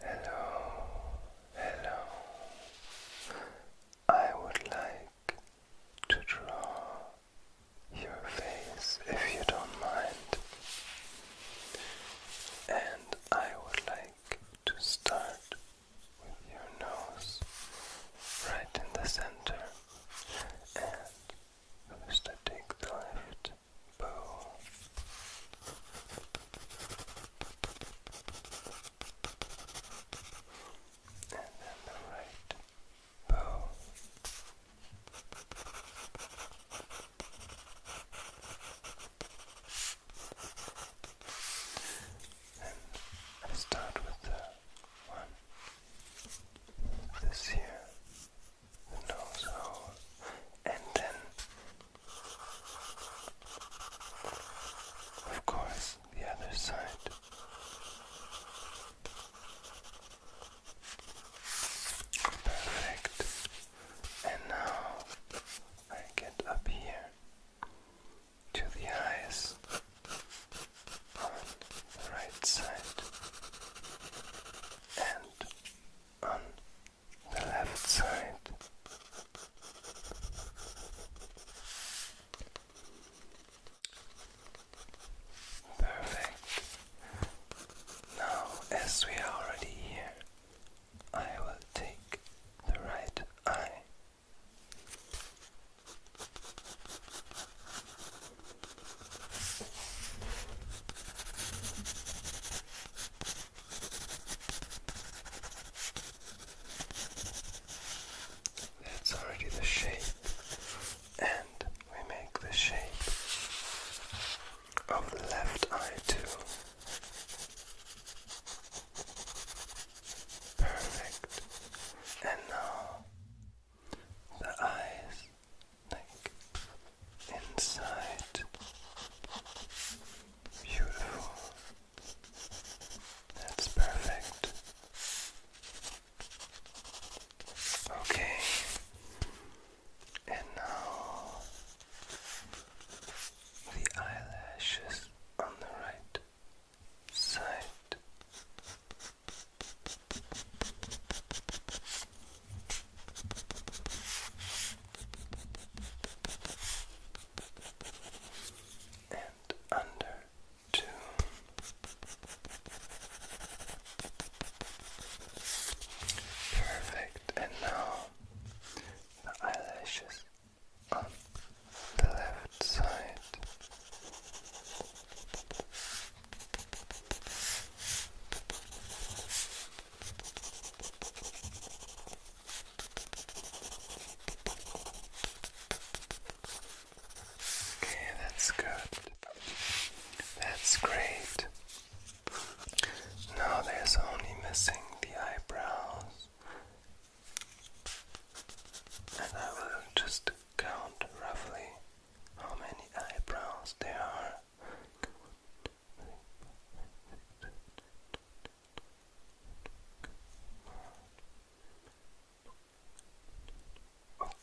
Hello, hello. I would like to draw your face if you don't mind. And I would like to start with your nose right in the center. And first I take the left Boo. And then the right. And I start with the one. This here who knows and then, of course, the other side. Perfect. And now I get up here to the eyes on the right side and on the left side. Perfect. Now, as we are already here, I will take the right eye. That's already the shape, and we make the shape of the left eye too. Perfect. And now the eyes neck, inside. Beautiful. That's perfect. Okay. And now the eyelashes on the right side and under two. Perfect, and now the eyelashes on the left side. Okay, that's good. That's great. Now there's only missing the eyebrows, and I will just count roughly how many eyebrows there are.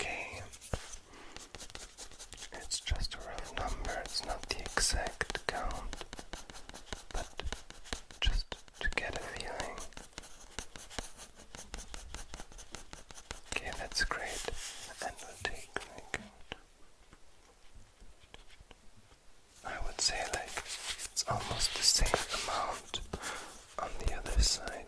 Okay, it's just a round number, it's not the exact count, but just to get a feeling. Okay, that's great, and we'll take I would say like it's almost the same amount on the other side.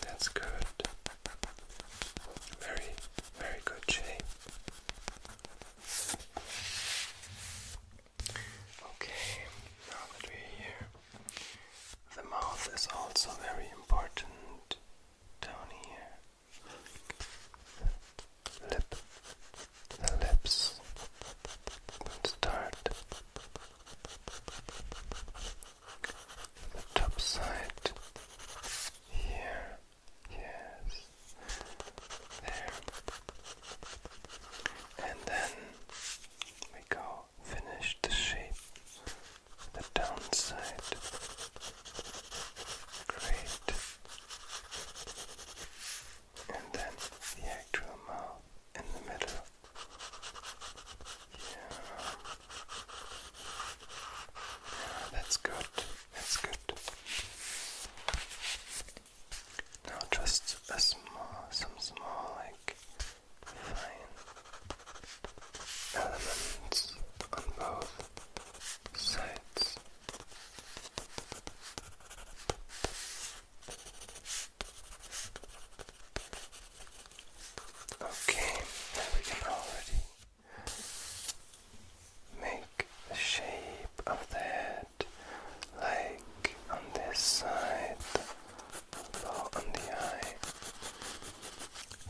That's good. Very, very good shape. Okay, now that we're here, the mouth is also very important down here. Lip, the lips. start the top side here. Yes. There. And then we go finish the shape, the downside. Great. And then the actual mouth in the middle. Yeah. that's good. That's good. Now just a small, some small, like fine elements on both sides. Okay, we can already Make the shape of the head like on this side or on the eye,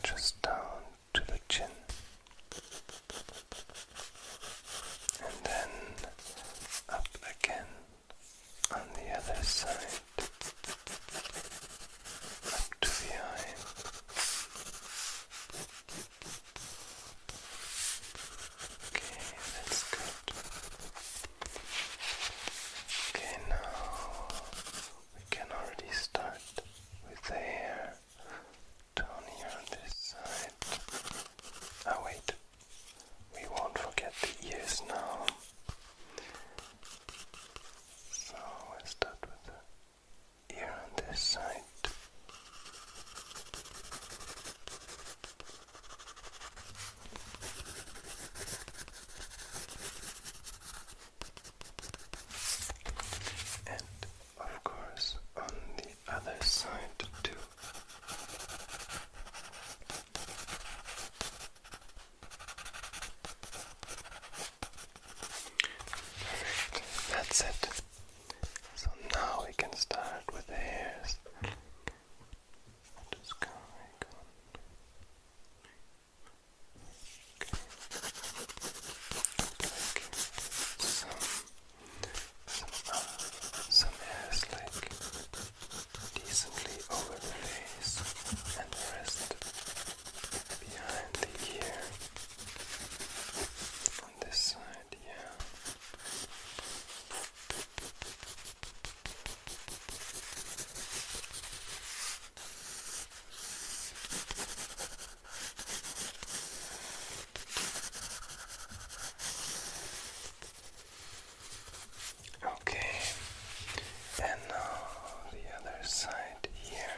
just down to the chin, and then up again on the other side, up to the eye. Okay, that's good. Okay, now we can already start with the hair down here on this side. Oh, wait, we won't forget the ears now. So, we start with here on this side. And of course, on the other side, too. That's it. So now we can start with hairs. Just go, Okay. some, some, some hairs like decently over the face and rest behind the ear on this side, yeah. Okay, and now the other side here.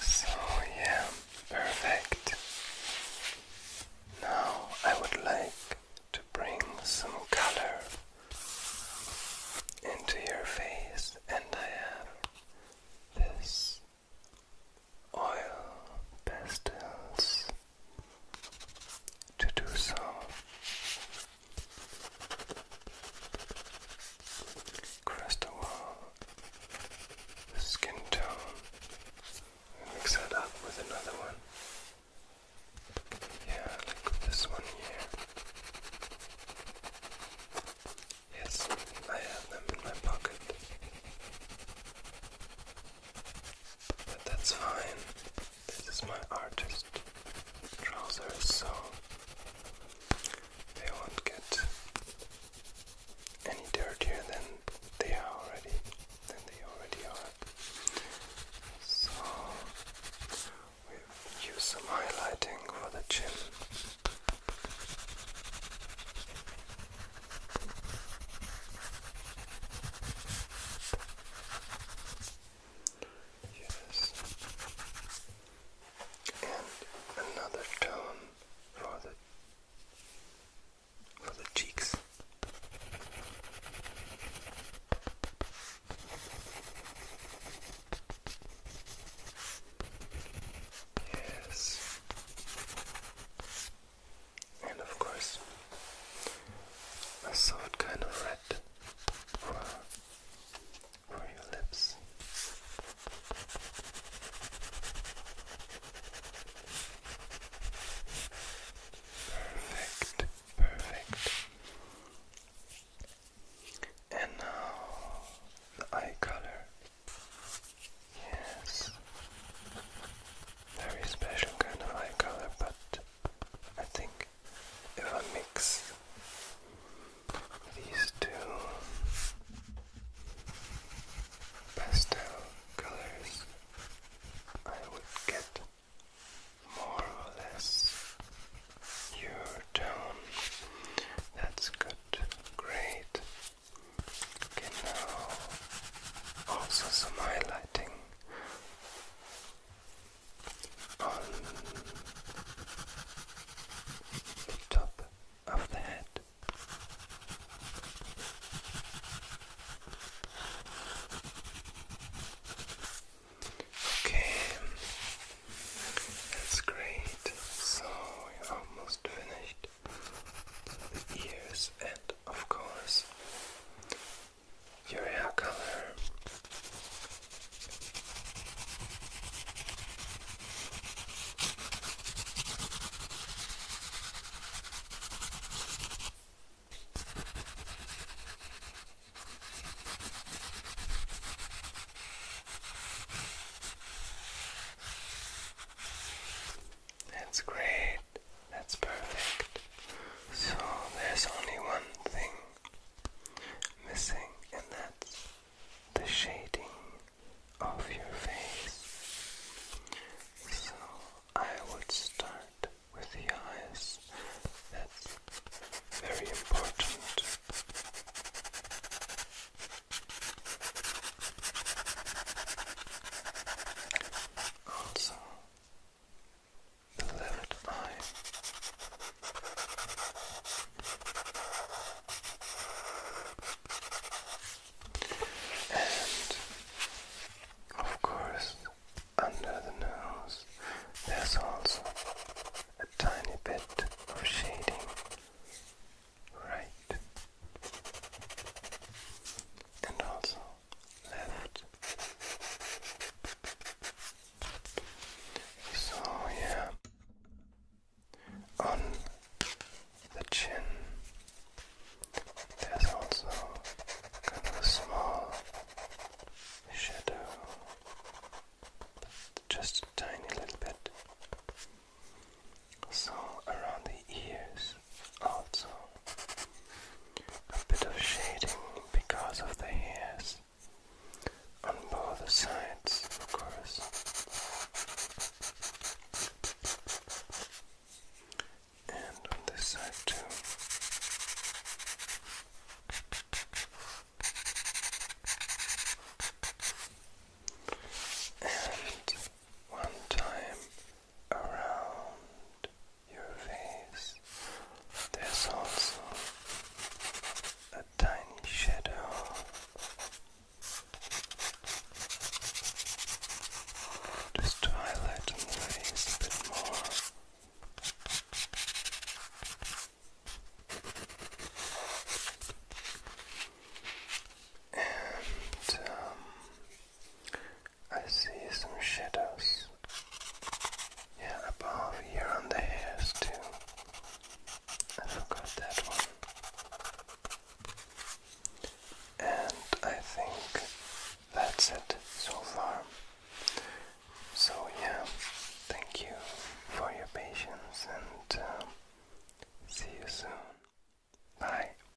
So, yeah, perfect. Now I would like to bring some color into your face, and I have this oil pastels to do so crest the wall, the skin tone, mix that up with another one. Yeah, like this one here. Yes, I have them in my pocket. But that's fine. This is my artist trousers, so they won't get any dirtier than they already than they already are. So we've used some for the chin. Yes. And another tone for the for the cheeks. Yes. And of course, a soft kind of for, for your lips. Perfect, perfect. And now the eye color. Yes, very special kind of eye color, but I think if I mix these two pastel colors, I would get more or less your tone. That's good, great. Okay, now also some highlighting on the top of the head. Okay, that's great. So we're almost finished the ears and of course your hair color. That's great that's perfect. So there's only one thing missing, and that's the shading of your face. So I would start with the eyes. That's very important. Also, the left eye. And of course, under the nose, there's also a tiny bit of shading, right? And also so, yeah, on the chin, there's also kind of a small shadow, just a tiny little bit. So, around the ears, also a bit of shading because of the hairs on both sides, of course. And on this side too. And one time around your face, there's also a tiny shadow just to highlight the face a bit more. And um, I see some shadows. Yeah, above here on the hairs too. I forgot that one. And I think that's it so far. So yeah, thank you for your patience and uh, see you soon. Bye.